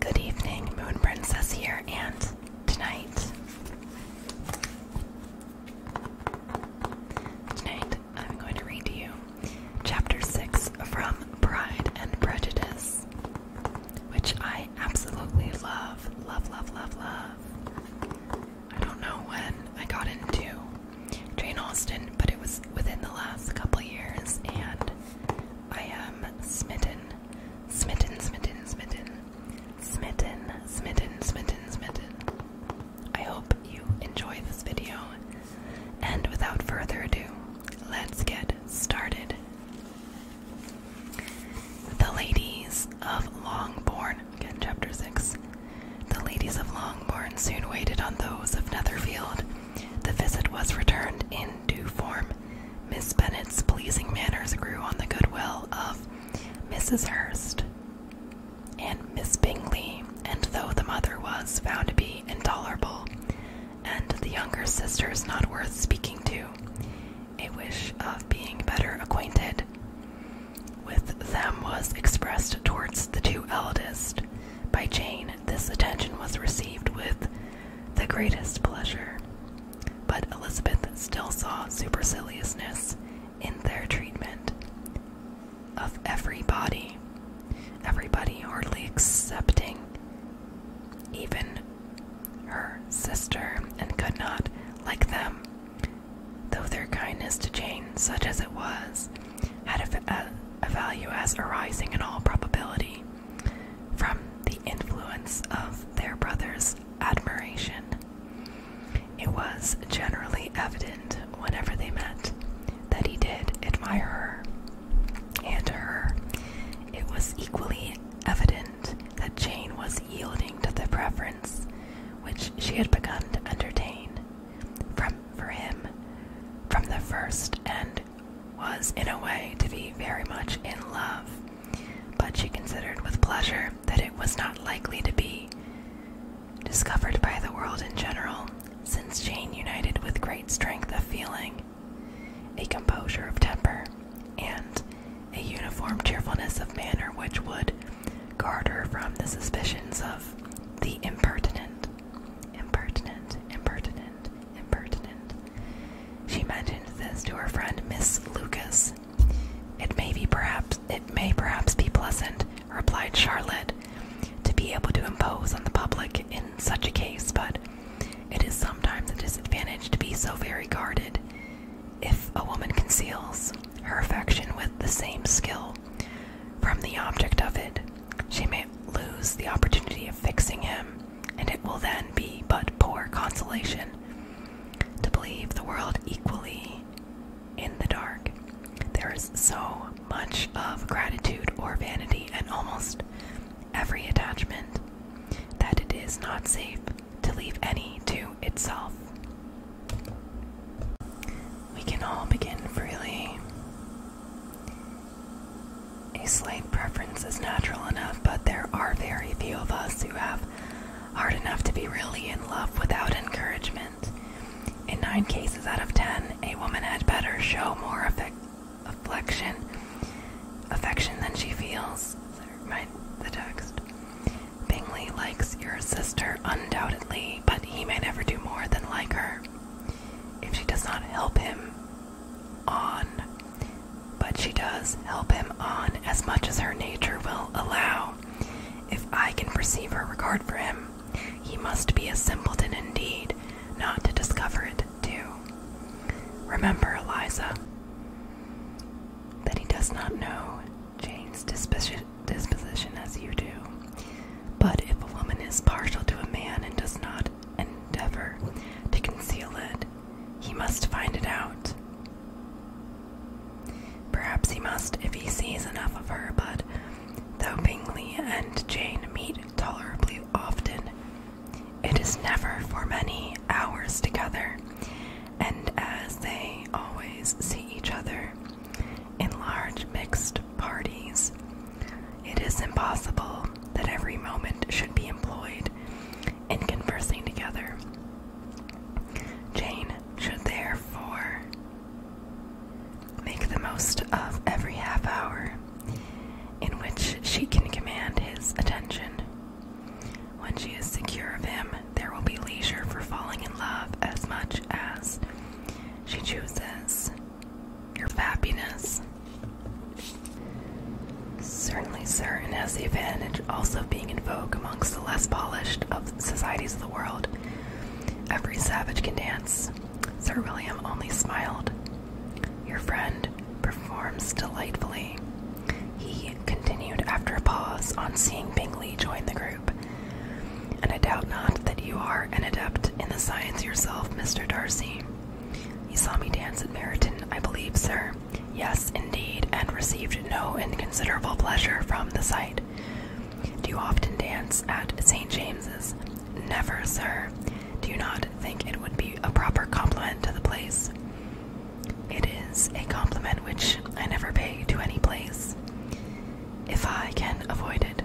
Good evening, Moon Princess here, and tonight, tonight I'm going to read to you Chapter 6 from Pride and Prejudice, which I absolutely love, love, love, love, love. I don't know when I got into Jane Austen, but it was within the last couple years, and I am smitten, smitten, smitten, smitten, smitten, smitten, smitten, smitten. I hope you enjoy this video, and without further ado, let's get started. The Ladies of Longbourn, again, chapter 6. The ladies of Longbourn soon waited on those of Netherfield. The visit was returned in due form. Miss Bennet's pleasing manners grew on the goodwill of Mrs. Hurst and Miss Bingley, and though the mother was found to be intolerable, and the younger sisters not worth speaking to, a wish of being better acquainted with them was expressed towards the two eldest. By Jane, this attention was received with the greatest pleasure. But Elizabeth still saw superciliousness in their treatment of every body, every body hardly excepting even her sister, and could not, like them, Though their kindness to Jane, such as it was, had a, value as arising in all probability from the influence of their brother's admiration, it was generally evident whenever they met that he did admire her, and to her it was equally evident that Jane was yielding to the preference which she had begun to entertain from for him from the first and was in a way to be very much in love, but she considered with pleasure that it was not likely to be discovered by the world in general, since Jane united with great strength of feeling, a composure of temper, and a uniform cheerfulness of manner which would guard her from the suspicions of the impertinent. Impertinent, impertinent, impertinent. She mentioned this to her friend Miss Lucas. It may be perhaps it may perhaps be pleasant, replied Charlotte, to be able to impose on the public in such a case, but it is sometimes a disadvantage to be so very guarded. If a woman conceals, her affection with the same skill from the object of it, she may lose the opportunity of fixing him, and it will then be but poor consolation to believe the world equally in the dark. There is so much of gratitude or vanity in almost every attachment that it is not safe to leave any to itself. We can all begin freely. A slight preference is natural enough, but there are very few of us who have heart enough to be really in love without encouragement. In nine cases out of ten, a woman had better show more affection, affection than she feels. the text. Bingley likes your sister undoubtedly, but he may never do more than like her if she does not help him on. But she does help him on as much as her nature will allow. If I can perceive her regard for him, he must be a simpleton indeed not to discover it too. Remember, Eliza, that he does not know Jane's disposition, as you do. But if a woman is partial to a man and does not endeavor to conceal it, he must find it out. Perhaps he must if he sees enough of her, but though Bingley and Jane meet tolerably often, it is never for many hours together, and as they always see each other in large mixed parties, it is impossible that every moment should be employed in conversing together. Jane should therefore make the most of every half hour in which she can command his attention. When she is secure of him, there will be leisure for falling in love as much as she chooses your happiness. Certainly, sir, and has the advantage also of being in vogue amongst the less polished of societies of the world. Every savage can dance. Sir William only smiled. Your friend, performs delightfully. He continued after a pause on seeing Bingley join the group. And I doubt not that you are an adept in the science yourself, Mr. Darcy. You saw me dance at Meryton, I believe, sir. Yes, indeed, and received no inconsiderable pleasure from the sight. Do you often dance at St. James's? Never, sir. Do you not think it would be a proper compliment to the place? It is a compliment which I never pay to any place. If I can avoid it,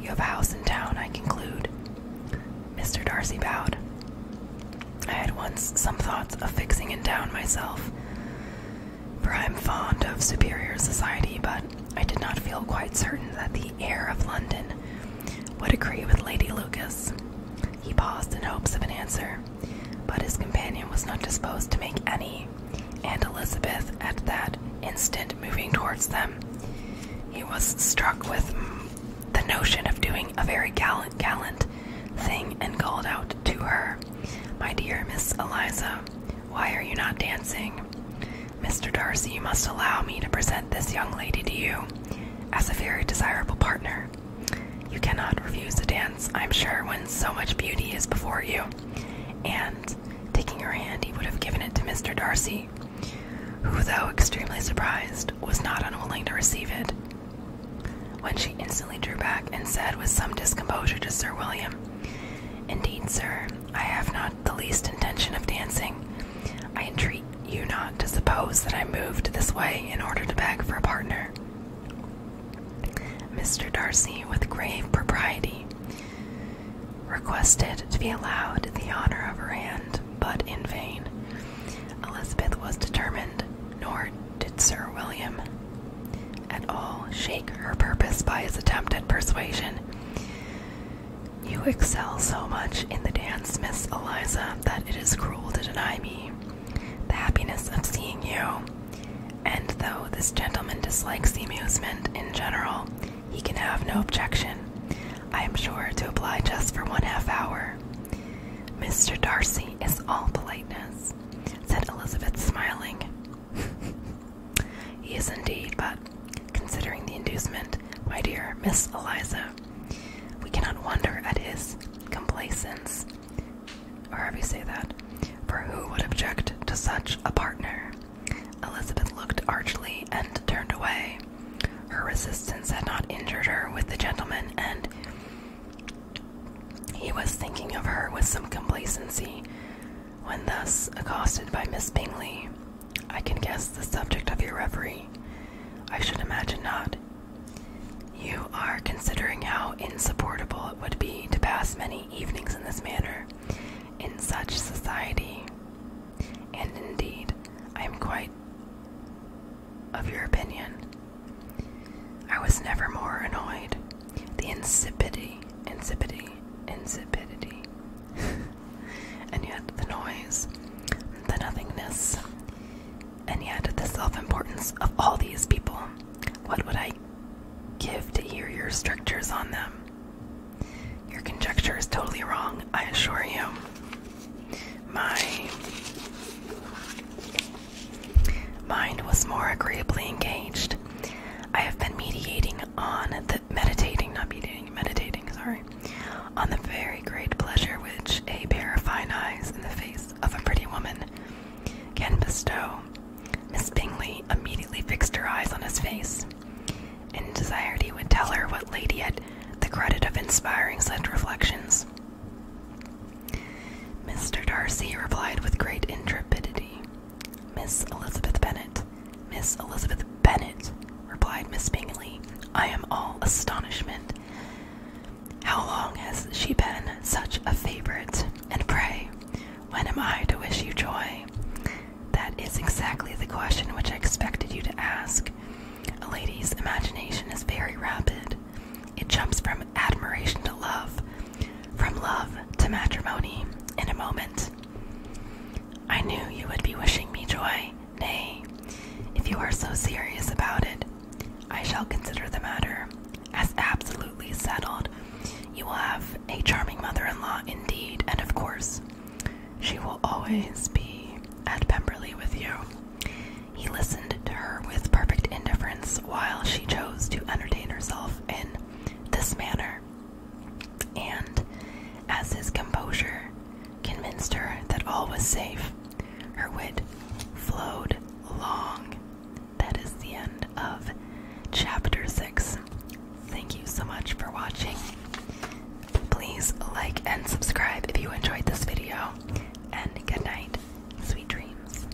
you have a house in town, I conclude. Mr. Darcy bowed. I had once some thoughts of fixing in town myself, for I am fond of superior society, but I did not feel quite certain that the air of London would agree with Lady Lucas. He paused in hopes of an answer, but his companion was not disposed to make any, and Elizabeth, at that instant moving towards them, he was struck with the notion of doing a very gallant, gallant thing and called out to her, My dear Miss Eliza, why are you not dancing? Mr. Darcy, you must allow me to present this young lady to you. As a very desirable partner, you cannot refuse to dance, I'm sure, when so much beauty is before you. And, taking her hand, he would have given it to Mr. Darcy, who, though extremely surprised, was not unwilling to receive it. When she instantly drew back and said with some discomposure to Sir William, Indeed, sir, I have not the least intention of dancing. I entreat you not to suppose that I moved this way in order to beg for a partner? Mr. Darcy, with grave propriety, requested to be allowed the honor of her hand, but in vain. Elizabeth was determined, nor did Sir William at all shake her purpose by his attempt at persuasion. You excel so much in the dance, Miss Eliza, that it is cruel to deny me the happiness of seeing you. And though this gentleman dislikes amusement in general, he can have no objection. I am sure to oblige us for one half hour. Mr. Darcy is all politeness, said Elizabeth, smiling. he is indeed, but Considering the inducement, my dear Miss Eliza, we cannot wonder at his complaisance. or have you said that, for who would object to such a partner? Elizabeth looked archly and turned away. Her resistance had not injured her with the gentleman, and he was thinking of her with some complacency when thus accosted by Miss Bingley. I can guess the subject of your reverie. I should imagine not. You are considering how insupportable it would be to pass many evenings in this manner, in such society. And indeed, I am quite of your opinion. I was never more annoyed. The insipidity, insipidity, insipidity and yet the noise, the nothingness, and yet the self importance of all these people. What would I give to hear your strictures on them? Your conjecture is totally wrong, I assure you. My mind was more agreeably engaged. I have been mediating on the meditating, not meditating, meditating, sorry, on the very great pleasure which a pair of fine eyes in the face of a pretty woman can bestow. Miss Bingley immediately fixed her eyes on his face, and desired he would tell her what lady had the credit of inspiring such reflections. Mr. Darcy replied with great intrepidity. Miss Elizabeth Bennet, Miss Elizabeth Bennet, replied Miss Bingley. I am all astonishment. How long has she been such a favourite? And pray, when am I to wish you joy? That is exactly the question which I expected you to ask. A lady's imagination is very rapid. It jumps from admiration to love, from love to matrimony in a moment. I knew you would be wishing me joy. Nay, if you are so serious about it, I shall consider the matter as absolutely settled. You will have a charming mother in law indeed, and of course, she will always be at Pemberley with you. He listened to her with perfect indifference while she chose to entertain herself in this manner and, as his composure convinced her that all was safe, her wit flowed long. That is the end of chapter 6. Thank you so much for watching. Please like and subscribe if you enjoyed this video, and good night. Sweet dreams.